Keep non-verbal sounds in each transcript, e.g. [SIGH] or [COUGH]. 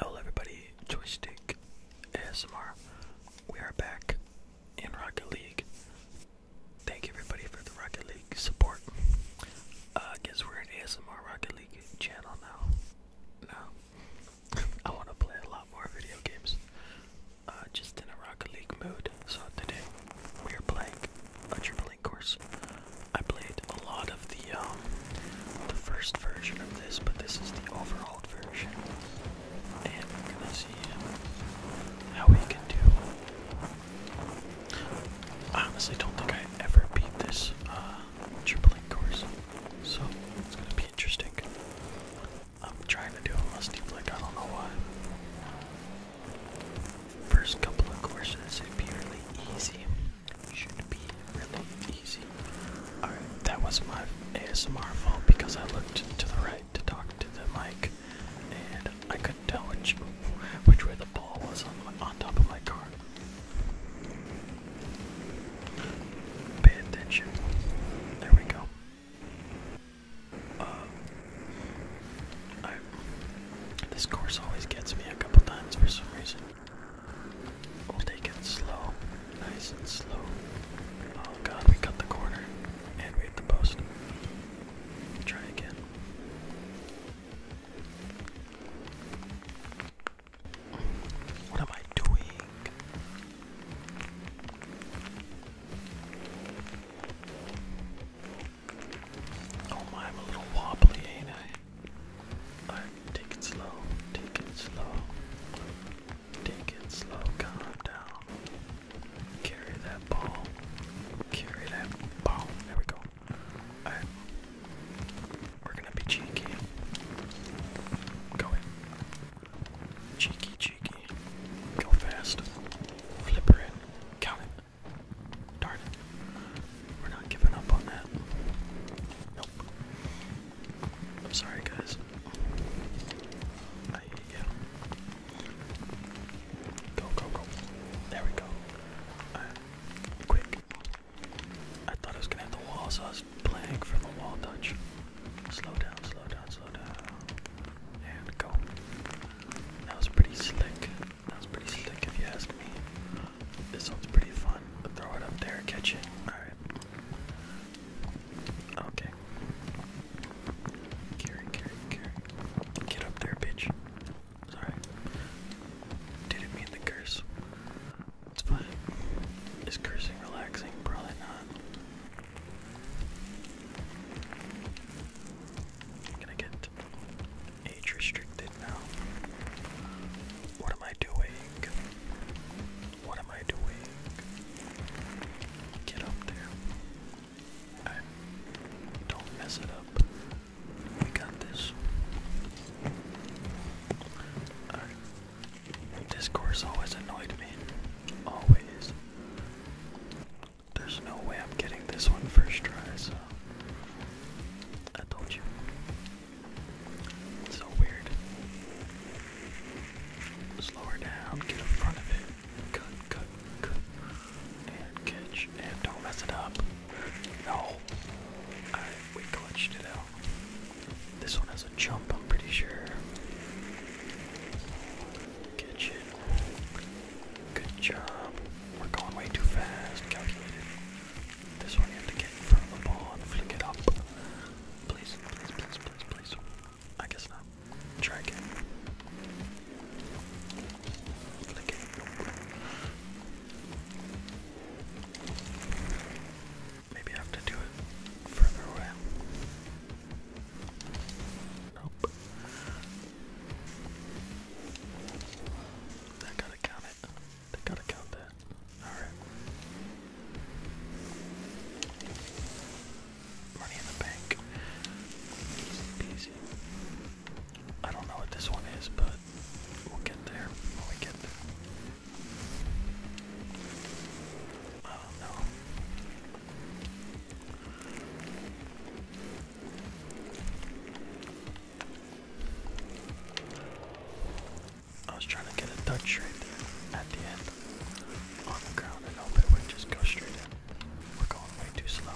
Hello everybody, Joystick ASMR. We are back in Rocket League. Thank you everybody for the Rocket League support. Uh, I guess we're an ASMR Rocket League channel now. Now, [LAUGHS] I want to play a lot more video games. Uh, just in a Rocket League mood. So today we are playing a dribbling course. I played a lot of the um, the first version of this, but this is the overhauled version, and we're gonna see how we can do. I honestly don't think I ever beat this uh, triple course, so it's gonna be interesting. I'm trying to do a musty flick. I don't know why. First couple of courses, it'd be really easy that was my ASMR fault because I looked to the right to talk to the mic and I couldn't tell which, which way the ball was on, on top of my car. Pay attention. There we go. Uh, this course always gets me a couple times for some reason. We'll take it slow, nice and slow. Oh god, we cut the corner and we hit the post. Try again. What am I doing? Oh my, I'm a little wobbly, ain't I? take it slow, take it slow. Take it slow, calm down. Carry that ball. Carry that ball. There we go. We're gonna be cheeky. Go in. Cheeky, cheeky. Go fast. Flipper in. Count it. Darn it. We're not giving up on that. Nope. I'm sorry, guys. Go, go, go. There we go. Quick. I thought I was gonna have the wall, so I was playing for the wall touch. Slow down, slow down, slow down. And go. That was pretty slick. That was pretty slick if you ask me. This one's pretty fun. Throw it up there, catch it. Alright. Okay. Carry, carry, carry. Get up there, bitch. Sorry. Didn't mean the curse. It's fine. Is cursing relaxing? Probably not. gonna get Age restricted now. What am I doing? What am I doing? Get up there. don't mess it up. We got this. Alright. always annoyed me. Always. There's no way I'm getting this one first try, so I told you. so weird. Slower down, get in front of it. Cut, cut, cut. And catch. And don't mess it up. No. we clutched it out. This one has a jump, I'm pretty sure. Catch it. Good job. We're going way too fast. Calculated. This one you have to get in the ball and flick it up. Please, please, please, please, I guess not. Try again. Flick it. Maybe I have to do it further away. Nope. They gotta count it. gotta count that. Alright. Money in the bank. Easy peasy. I don't know what this one is, but we'll get there when we get there. Oh no. I was trying to get a touch right there at the end on the ground and hope it would just go straight in. We're going way too slow.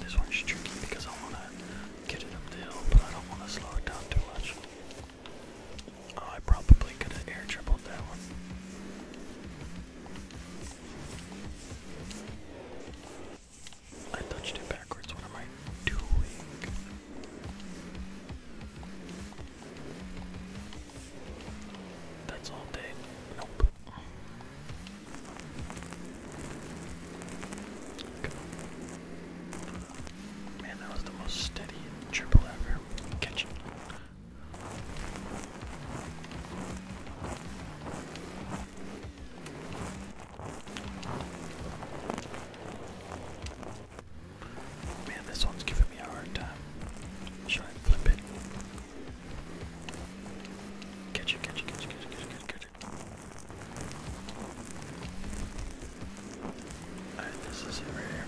This one's tricky because I want to get it up the but I don't want to slow it down too much. Oh, I probably could have air dribbled that one. I touched it backwards. What am I doing? That's all day. Nope. Man, that was the most steady triple ever. Catch it. Man, this one's giving me a hard time. Try and flip it. Catch it, catch it, catch it, catch it, catch it, catch it, Alright, this is it right here.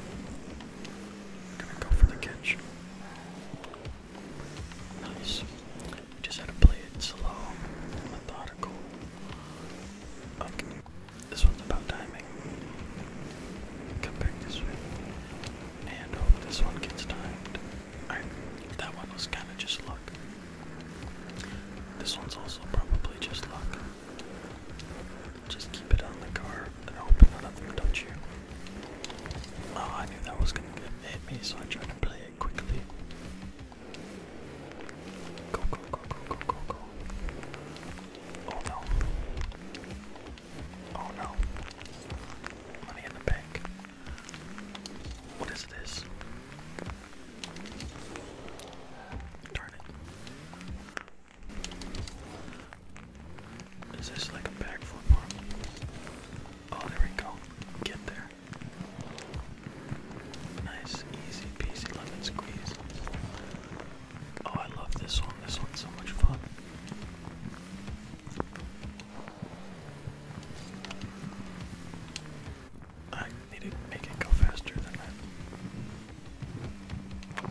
Gonna go for the catch. Nice. just had to play it slow, methodical. Okay. This one's about timing. Come back this way. And hope this one gets timed. Alright, that one was kinda just luck. This one's also probably just luck. Just keep it on the car and open it up and you. Oh, I knew that was gonna hit me, so I tried to play it quickly. Go, go, go, go, go, go, go. Oh no. Oh no. Money in the bank. What is this? Darn it. Is this like a backflip mark? Oh, there we go. Get there. Nice, easy peasy lemon squeeze. Oh, I love this one. This one's so much fun. I need to make it go faster than that.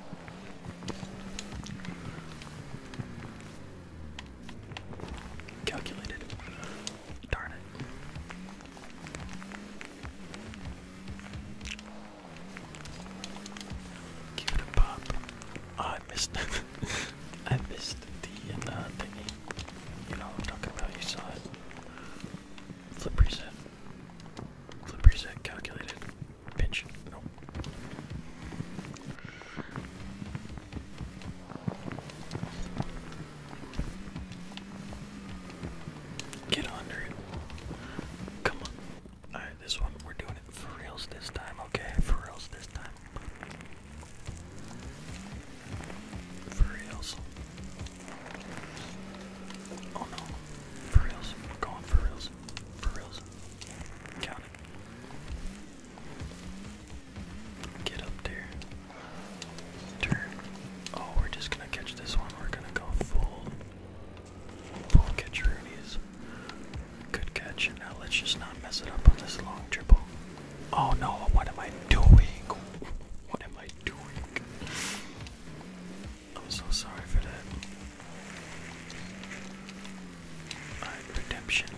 Calculated. Darn it. Give it a pop. Oh, I missed [LAUGHS] I missed the uh, You know what I'm talking about, you saw it. Flip reset. Flip reset calculated. Pinch. Get under it. Come on. Alright, this one, we're doing it for reals this time, okay? For reals this time. For reals. Oh no. For reals. We're going for reals. For reals. Count Get up there. Turn. Oh, we're just gonna catch this one. We're gonna go full. Full catch Rooney's. Good catch. Now let's just not mess it up on this long triple. Oh no, what am I doing? What am I doing? I'm so sorry for that. redemption.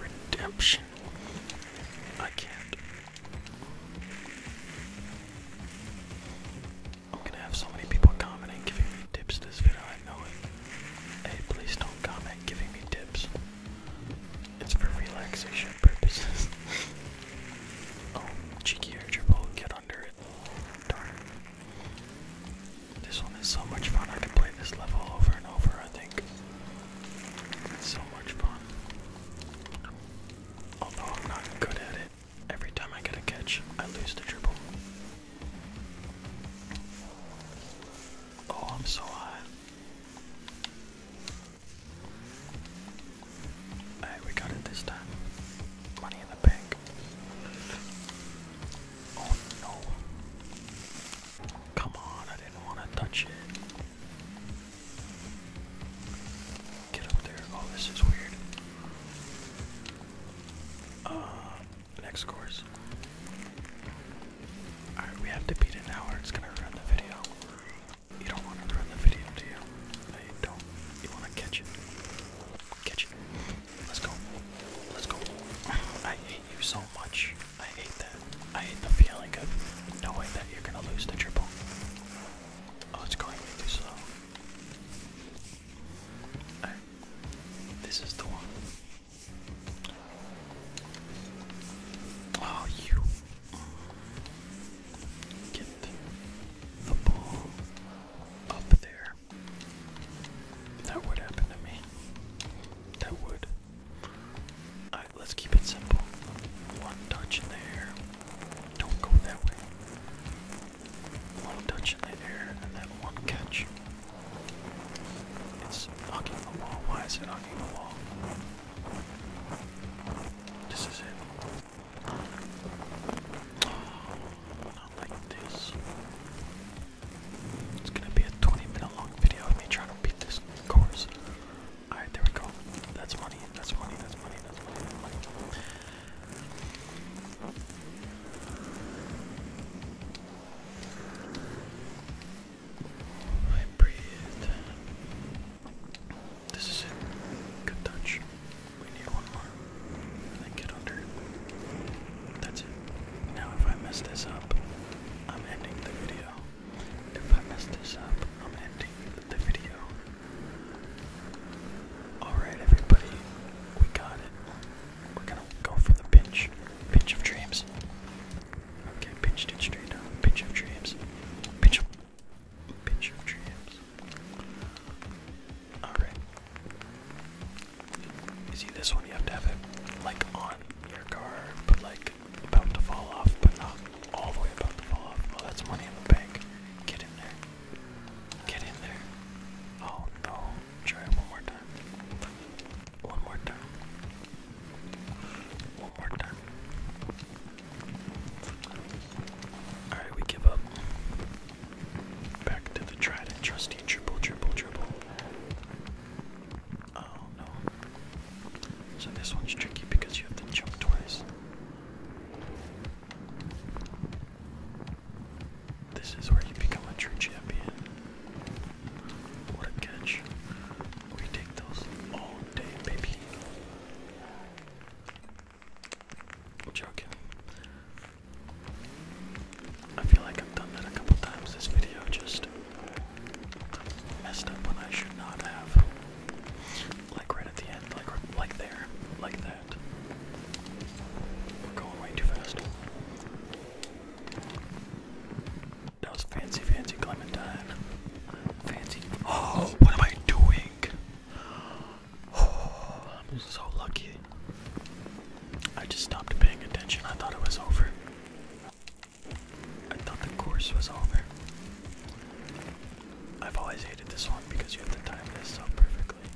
Redemption. I can't. I'm gonna have so many people commenting, giving me tips this video, I know it. Hey, please don't comment giving me tips. It's for relaxation purposes. [LAUGHS] oh, cheeky air get under it. Darn. This one is so much fun. I can play this level over and over, I think. It's so much fun. Although I'm not good at it. Every time I get a catch, I lose the triple. Oh, I'm so high. Hey, we got it this time. Money in the bank. Oh no. Come on, I didn't want to touch it. Get up there. Oh, this is weird. Uh, next course. Alright, we have to beat an hour. It's gonna ruin the video. You don't want to ruin the video, do you? don't. You wanna catch it? Catch it. Let's go. Let's go. I hate you so much. I hate that. I hate the feeling of knowing that you're gonna lose the triple. Oh, it's going too slow. This is the one. Oh, you. Get the ball up there. That would happen to me. That would. Alright, let's keep it simple. One touch in the air. Don't go that way. One touch in the air and then one catch. It's knocking the wall. Why is it knocking the wall? This is it. Not like this. It's gonna be a 20 minute long video of me trying to beat this course. Alright, there we go. That's money, that's money, that's money, that's money, that's money. I breathe. This is it. Good touch. We need one more. then get under it. That's it. Now if I mess this up, I'm ending the video. If I mess this up, I'm ending the video. Alright everybody, we got it. We're gonna go for the pinch. Pinch of dreams. Okay, pinch, ditch, straight Pinch of dreams. Pinch Picture You see this one, you have to have it like on your car, but like about to fall off, but not all the way about to fall off. Well, oh, that's money in the bank. Get in there. Get in there. Oh no. Try one more time. One more time. One more time. Alright, we give up. Back to the tried trusty triple, triple, triple. Oh no. So this one's tricky because you have to jump twice. This is where you become a true champion. What a catch. We take those all day, baby joking. I feel like I've done that a couple times this video, just messed up when I should not have. Like right at the end, like like there, like that. We're going way too fast. That was fancy, fancy Clementine fancy. Oh, what am I doing? Oh, I'm so lucky. I just stopped paying attention. I thought it was over. I thought the course was over. I've always hated this one because you have to time this up perfectly.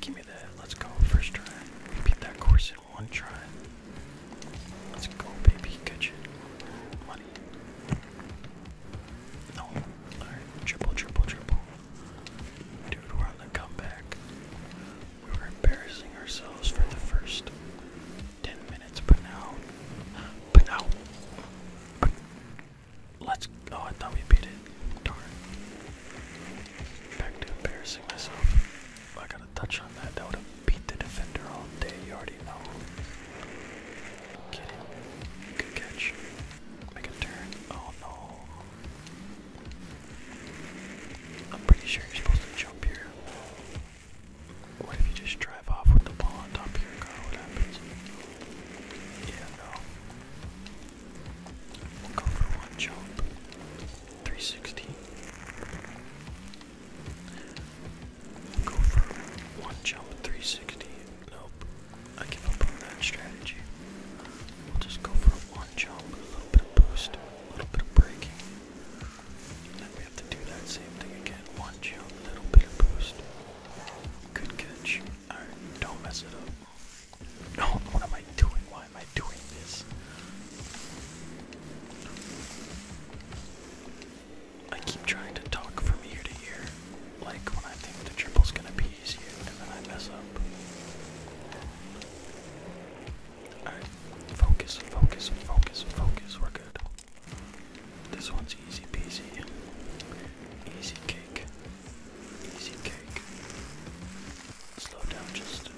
Give me that. Let's go. First try. Repeat that course in one try. Let's go, baby. Get you money. No. Alright, triple, triple, triple. Dude, we're on the comeback. We were embarrassing ourselves for the first 10 minutes, but now. But now. But let's. Oh, I thought we beat it. Darn. Back to embarrassing myself. I touch on that. That would have beat the defender all day. You already know. Oh, I'm pretty sure you're supposed to jump here. What if you just drive off with the ball on top here, your What happens? Yeah, no. We'll go for one jump. 360. Go for one jump 360. Nope. I give up on that strategy. We'll just go for one jump, a little bit of boost, a little bit of braking. Then we have to do that same thing again. One jump, a little bit of boost. Good catch. Alright, don't mess it up. No, what am I doing? Why am I doing this? I keep trying to talk from ear to ear, like when I think the triple's gonna be easier, and then I mess up. focus, focus, focus, focus, we're good. This one's easy peasy. Easy cake. Easy cake. Slow down just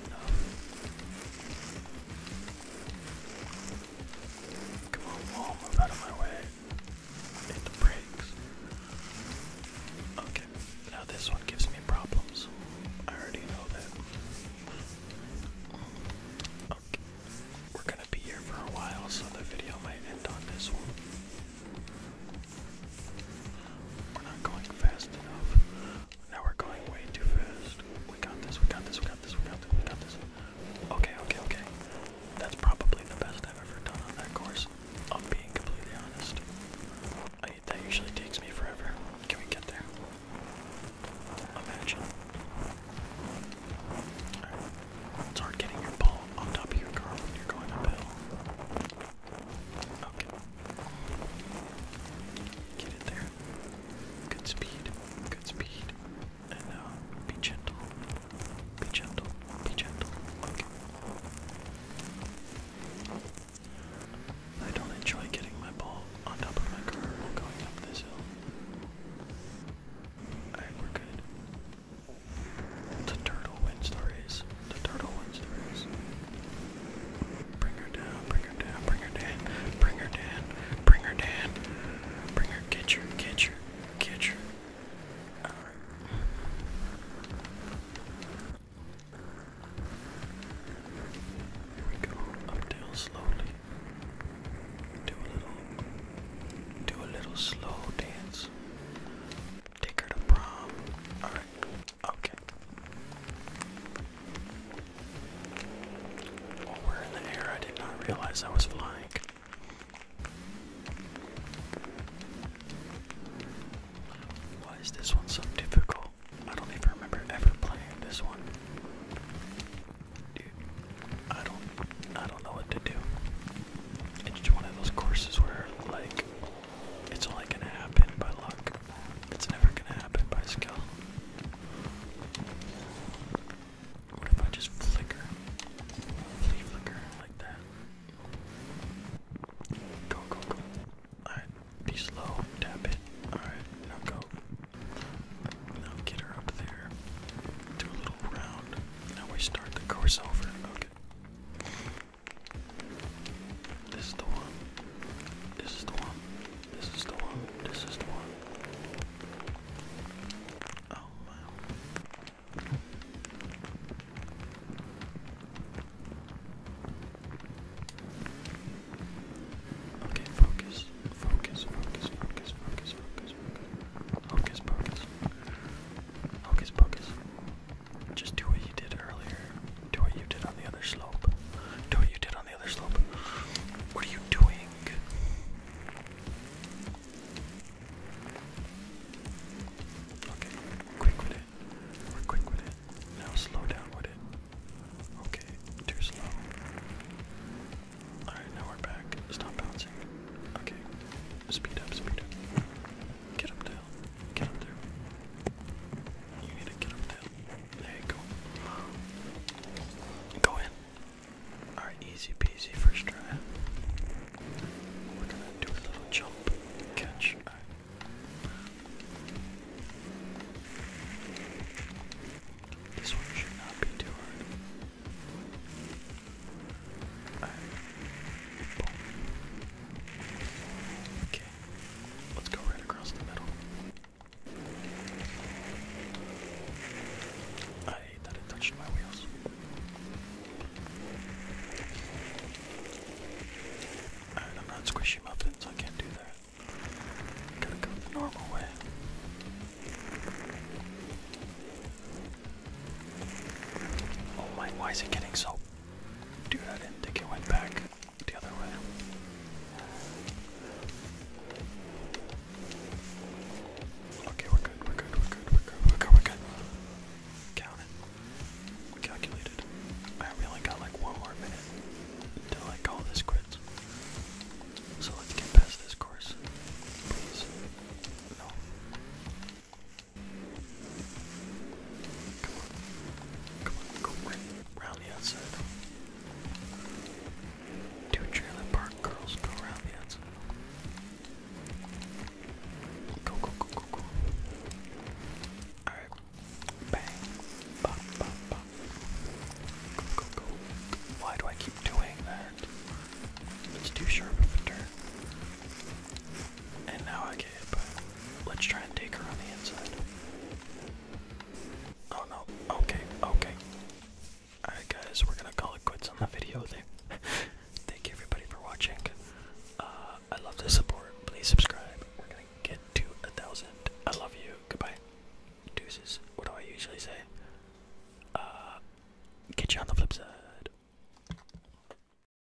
Come on, move out of my way. Hit the brakes. Okay, now this one gives me problems. I already know that. Okay, we're gonna be here for a while, so the video might end on this one. We're not going fast enough. Now we're going way too fast. We got this, we got this, we got this, we got this, we got this. Okay, okay, okay. That's probably the best I've ever done on that course. i being completely honest. I, that usually takes me forever. Can we get there? Imagine. Alright. getting your ball on top of your car when you're going uphill. Okay. Get it there. Good speed, good speed. And now, uh, be gentle, be gentle, be gentle. Okay. I don't enjoy getting my ball on top of my car while going up this hill. Alright, we're good. The turtle wins the The turtle wins the Bring her down, bring her down, bring her down, bring her down, bring her down, bring her, get her, get her, get her. Alright. Here we go, up down slowly. Do a little, do a little slow dance. Take her to prom. Alright, okay. While we're in the air, I did not realize I was flying. Why is this one so difficult? I don't even remember ever playing this one. Dude, I don't I don't know what to do. It's just one of those courses where like it's only gonna happen by luck. It's never gonna happen by skill. What if I just flicker? flicker like that. Go, go, go. Alright, be slow, tap it. Alright, now go. Now get her up there. Do a little round. Now we start the course this is the one. This is the one. This is the one. This is the one. Oh man. Okay, Focus, focus, focus, focus, focus, focus. Focus, focus. Focus, focus. Just do what you did earlier. Do what you did on the other slope. Do what you did on the other slope. What are you doing? Okay, quick with it. We're quick with it. Now slow down with it. Okay, too slow. Alright, now we're back. Stop bouncing. Okay, speed up, speed up. Get up down. Get up there. You need to get up down. There you go. Go in. Alright, easy peasy first try. We're gonna do a little jump catch. This one should not be too hard. All right. Okay, Let's go right across the middle. I hate that it touched my wheels. I'm not squishy muffins, I can't do that. Gotta go normal way. Oh my, why is it getting so... Dude, I didn't think it went back the other way. Okay, we're good, we're good, we're good, we're good, we're good, we're good. Count calculated. I only got like one more minute until I call this quits. So let's get past this course. Please. No. Come on. Come on, go right around the outside. Two trailer park girls go around the outside. Go, go, go, go, go. Alright. Bang. Bop, bop, bop. Go, go, go. Why do I keep doing that? It's too sharp of a turn. And now I get hit by Let's try and take her on the inside. Oh no. Okay, okay. Alright guys, we're gonna call it quits on the video there. [LAUGHS] Thank you everybody for watching. Uh, I love the support. Please subscribe. We're gonna get to a thousand. I love you. Goodbye. Deuces. What do I usually say? Uh, get you on the flip side.